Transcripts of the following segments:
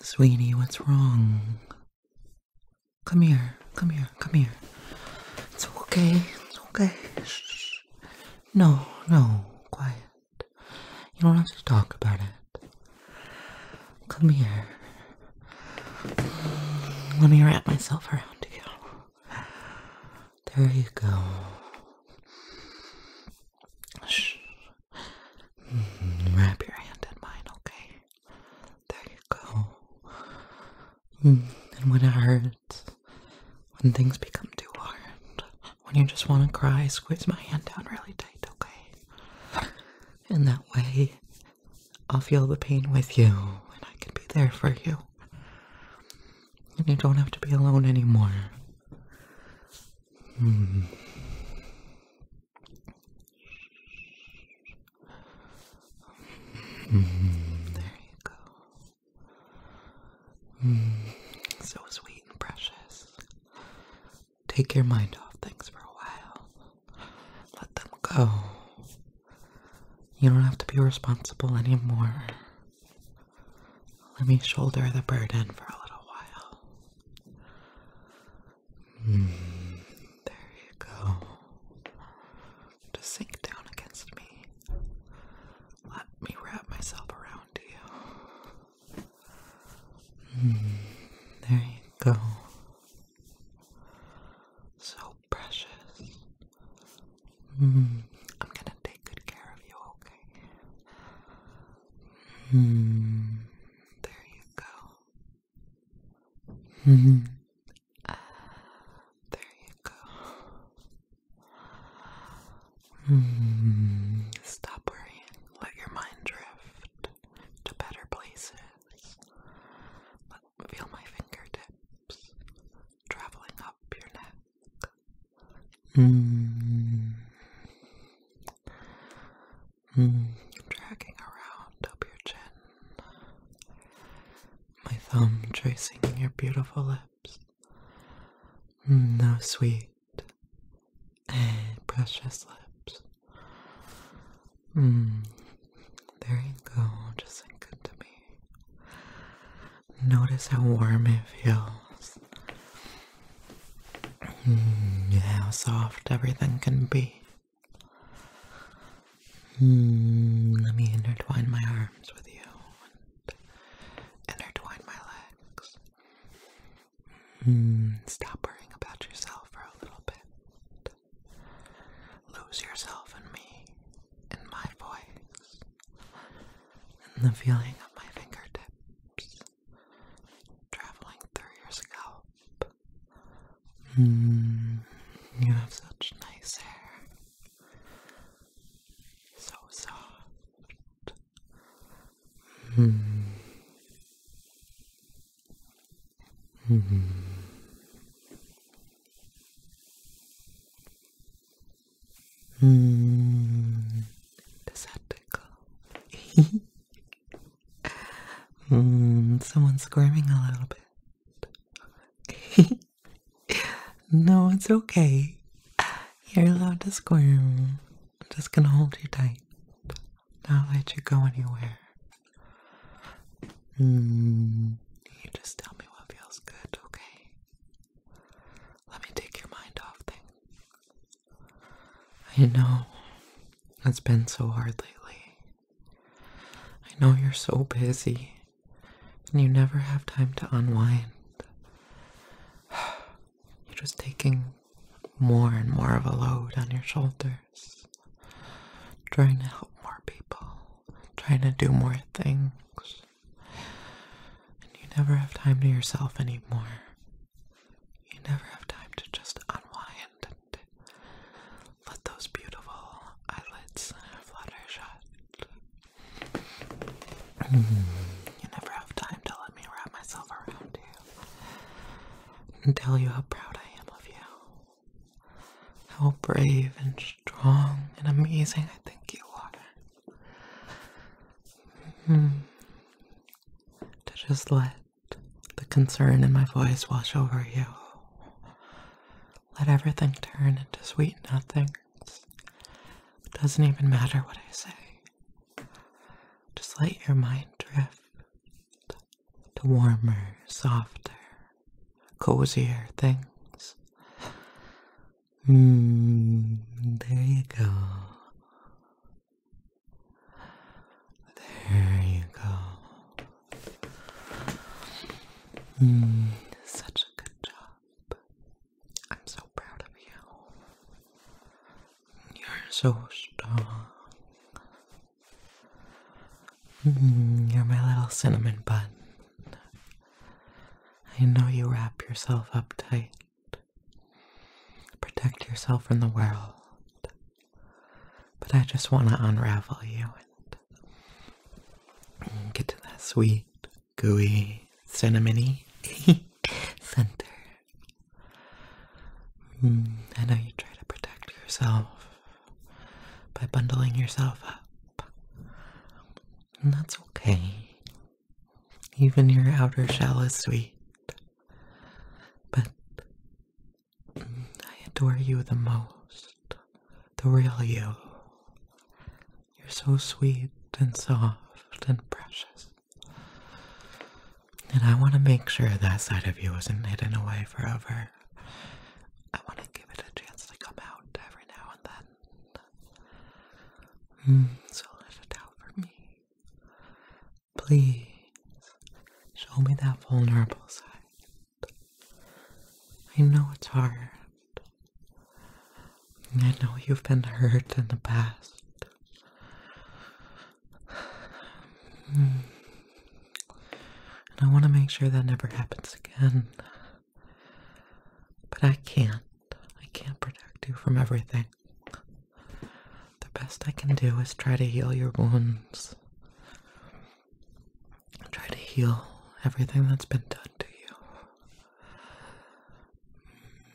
Sweetie, what's wrong? Come here, come here, come here. It's okay, it's okay. Shh. No, no, quiet. You don't have to talk about it. Come here. Let me wrap myself around you. There you go. Shh. Mm-hmm. Wrap your hand in mine, okay? There you go. Mm-hmm. And when it hurts, when things become too hard, when you just want to cry, squeeze my hand down really tight, okay? In that way, I'll feel the pain with you and I can be there for you. And you don't have to be alone anymore. Mm-hmm there you go. so sweet and precious. Take your mind off things for a while. Let them go. You don't have to be responsible anymore. Let me shoulder the burden for a little while there you go. Just sink down against me. Let me wrap myself around you. there you go. So precious. I'm gonna take good care of you, okay? there you go uh, there you go. Stop worrying. Let your mind drift to better places. feel my fingertips traveling up your neck. Mm-hmm. Mm, dragging around up your chin. My thumb tracing your beautiful lips. No, mm, sweet and precious lips. Mm, there you go, just sink into me. Notice how warm it feels. Hmm, how soft everything can be. Hmm, let me intertwine my arms with you intertwine my legs. Hmm, stop worrying about yourself for a little bit. Lose yourself in me, in my voice, in the feeling of my fingertips traveling through your scalp. you have such nice hair. So soft. Mm. Mm. Mm. Does Mm, someone's squirming a little bit. no, it's okay. You're allowed to squirm. I'm just gonna hold you tight. Not let you go anywhere. Mm, you just tell me what feels good, okay? Let me take your mind off things. I know it's been so hard lately. I know you're so busy and you never have time to unwind. You're just taking more and more of a load on your shoulders, trying to help more people, trying to do more things. And you never have time to yourself anymore. You never have time to just unwind shut. Let those beautiful eyelids flutter shut. you never have time to let me wrap myself around you and tell you how proud I am of you. How brave and strong and amazing I think you are. Hmm. To just let the concern in my voice wash over you. Let everything turn into sweet nothings. It doesn't even matter what I say. Just let your mind drift to warmer, softer, cozier things. Mm, there you go. There you go. Mm, such a good job. I'm so proud of you. You're so strong. Mm, you're my little cinnamon bun. I know you wrap yourself up tight. Protect yourself from the world. But I just want to unravel you and get to that sweet, gooey, cinnamony center. Mm, I know you try to protect yourself by bundling yourself up. And that's okay. Even your outer shell is sweet. But I adore you the most, the real you. You're so sweet and soft and precious. And I want to make sure that side of you isn't hidden away forever. I want to give it a chance to come out every now and then. Hmm, so let it out for me. Please show me that vulnerable side. I know it's hard. I know you've been hurt in the past. And I want to make sure that never happens again. But I can't. I can't protect you from everything. The best I can do is try to heal your wounds. Try to heal everything that's been done to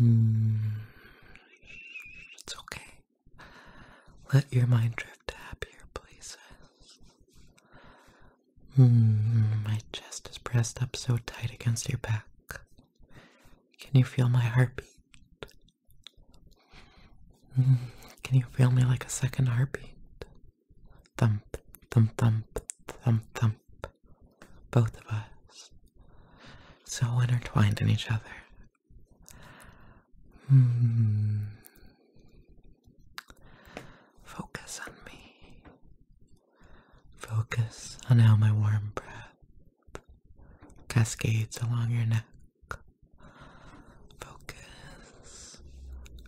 you. Mm. It's okay. Let your mind drift to happier places. Mm, my chest is pressed up so tight against your back. Can you feel my heartbeat? Mm, can you feel me like a second heartbeat? Thump, thump, thump, thump, thump. Both of us. So intertwined in each other. Hmm. Focus on me. Focus on how my warm breath cascades along your neck Focus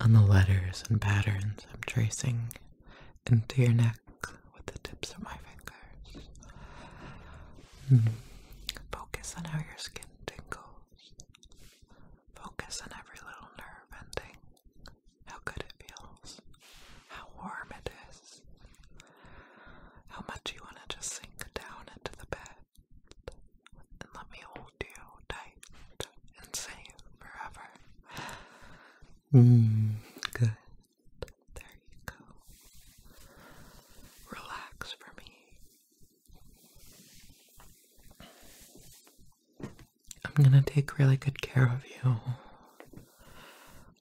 on the letters and patterns I'm tracing into your neck with the tips of my fingers. Hmm. Focus on how your skin tingles. Focus on every little nerve ending. How good it feels. How warm it is. How much you want to just sink down into the bed and let me hold you tight and safe forever. Mmm, good. There you go. Relax for me. I'm gonna take really good care of you.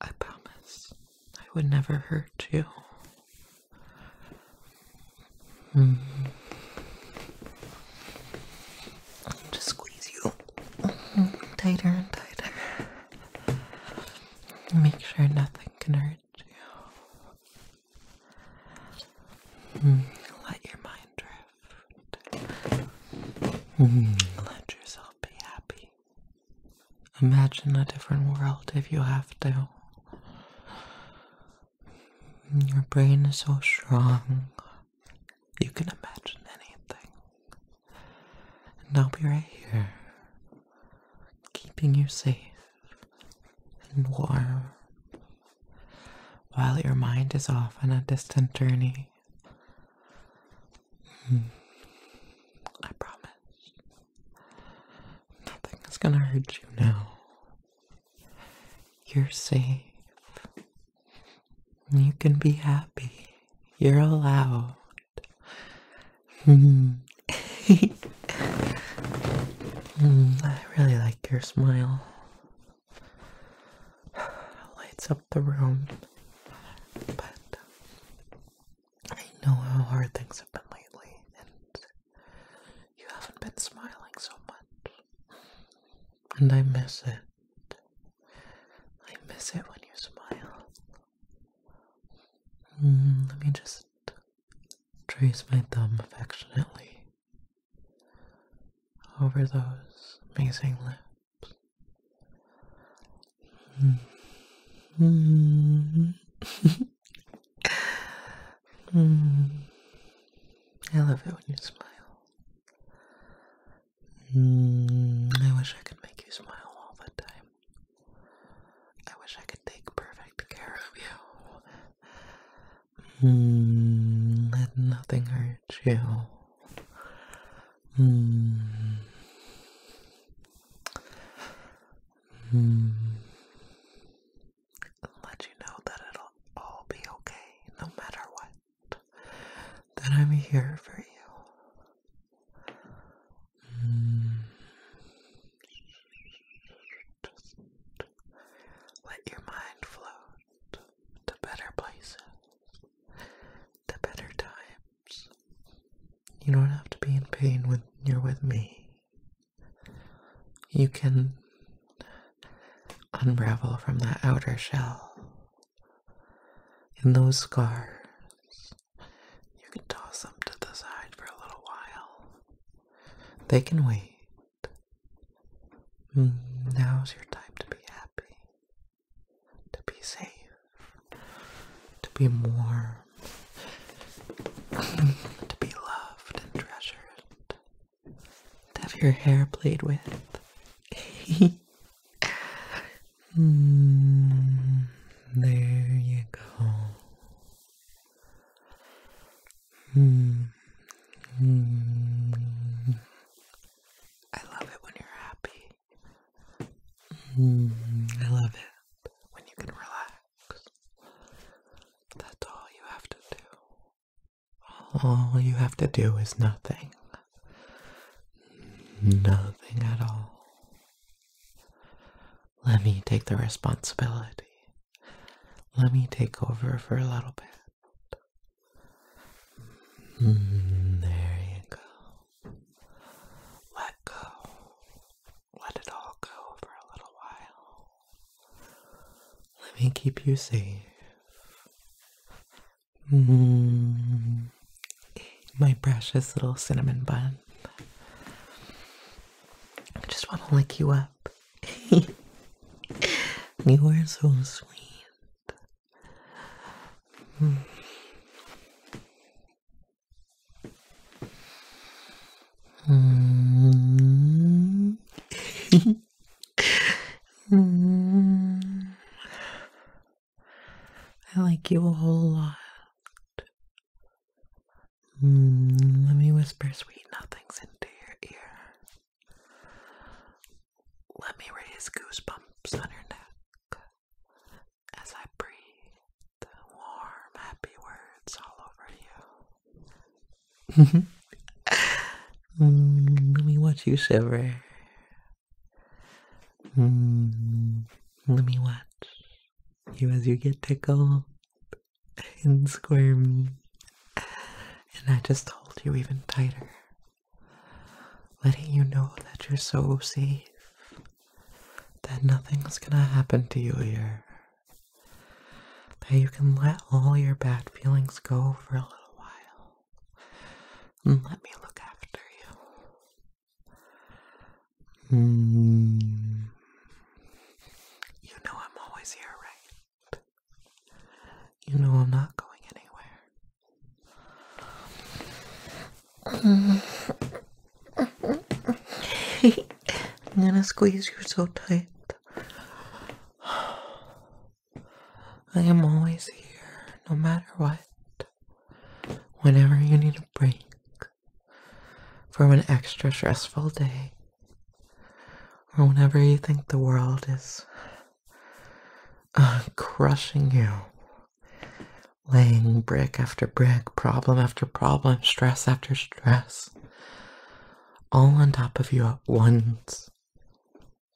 I promise I would never hurt you. Hmm. just squeeze you mm-hmm. tighter and tighter. Make sure nothing can hurt you. Hmm. Let your mind drift. Hmm. Let yourself be happy. Imagine a different world if you have to. Your brain is so strong, you can imagine anything. And I'll be right here, keeping you safe and warm while your mind is off on a distant journey. Hmm. I promise. Nothing is gonna hurt you now. You're safe. You can be happy. You're allowed. Hmm. Hmm, I really like your smile. Lights up the room. But I know how hard things have been lately, and you haven't been smiling so much. And I miss it. I miss it when you smile. Mm, let me just trace my thumb affectionately over those amazing lips. Mm. mm. I love it when you smile. Mm. I wish I could make you smile all the time. I wish I could take perfect care of you. Mm. Let nothing hurt you. Mm. Mm let you know that it'll all be okay no matter what. That I'm here for you. let your mind float to better places, to better times. You don't have to be in pain when you're with me you can unravel from that outer shell. In those scars, you can toss them to the side for a little while. They can wait. Mm, now's your time to be happy, to be safe, to be warm, to be loved and treasured have your hair played with. Hmm, there you go. Hmm, hmm. I love it when you're happy. I love it when you can relax. That's all you have to do. All you have to do is nothing. Nothing at all. Let me take the responsibility. Let me take over for a little bit. Mm, there you go. Let go let it all go for a little while. Let me keep you safe. Mm. my precious little cinnamon bun. I just want to lick you up. you are so sweet. Mm. Mm. mm. I like you a whole lot. Mm. Let me whisper sweet nothings into your ear. Let me raise goosebumps on your neck as I breathe warm, happy words all over you let me watch you shiver. Mm, let me watch you as you get tickled and squirm. And I just hold you even tighter, letting you know that you're so safe, that nothing's gonna happen to you here that you can let all your bad feelings go for a little while and let me look after you. Hmm. You know I'm always here, right? You know I'm not going anywhere. I'm gonna squeeze you so tight. I am always here, no matter what. Whenever you need a break from an extra stressful day, or whenever you think the world is uh, crushing you, laying brick after brick, problem after problem, stress after stress, all on top of you at once.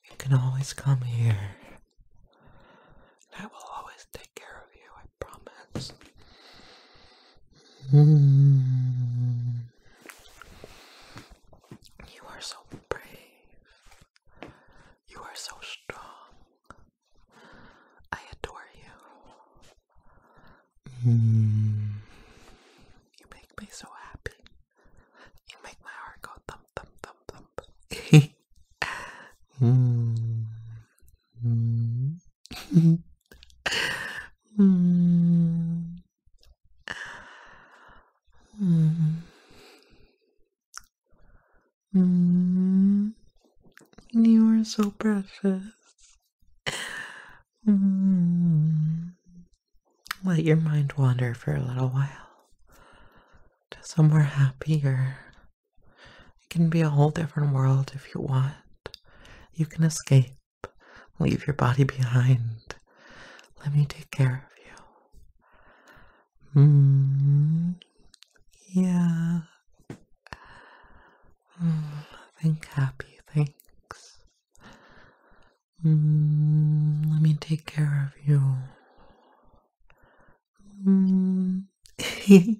You can always come here. I will always take care of you, I promise. Hmm. You are so brave. You are so strong. I adore you. Mm. You make me so happy. You make my heart go thump, thump, thump, thump. mm. Mm. mm. Mm. Mm. You are so precious. Hmm. Let your mind wander for a little while to somewhere happier. It can be a whole different world if you want. You can escape, leave your body behind. Let me take care of you. Hmm. Yeah. Mm. Think happy things. Mm, let me take care of you. Mm.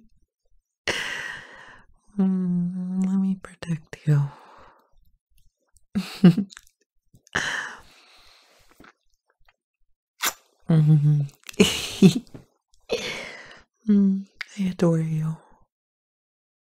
mm, let me protect you. Mm, I adore you.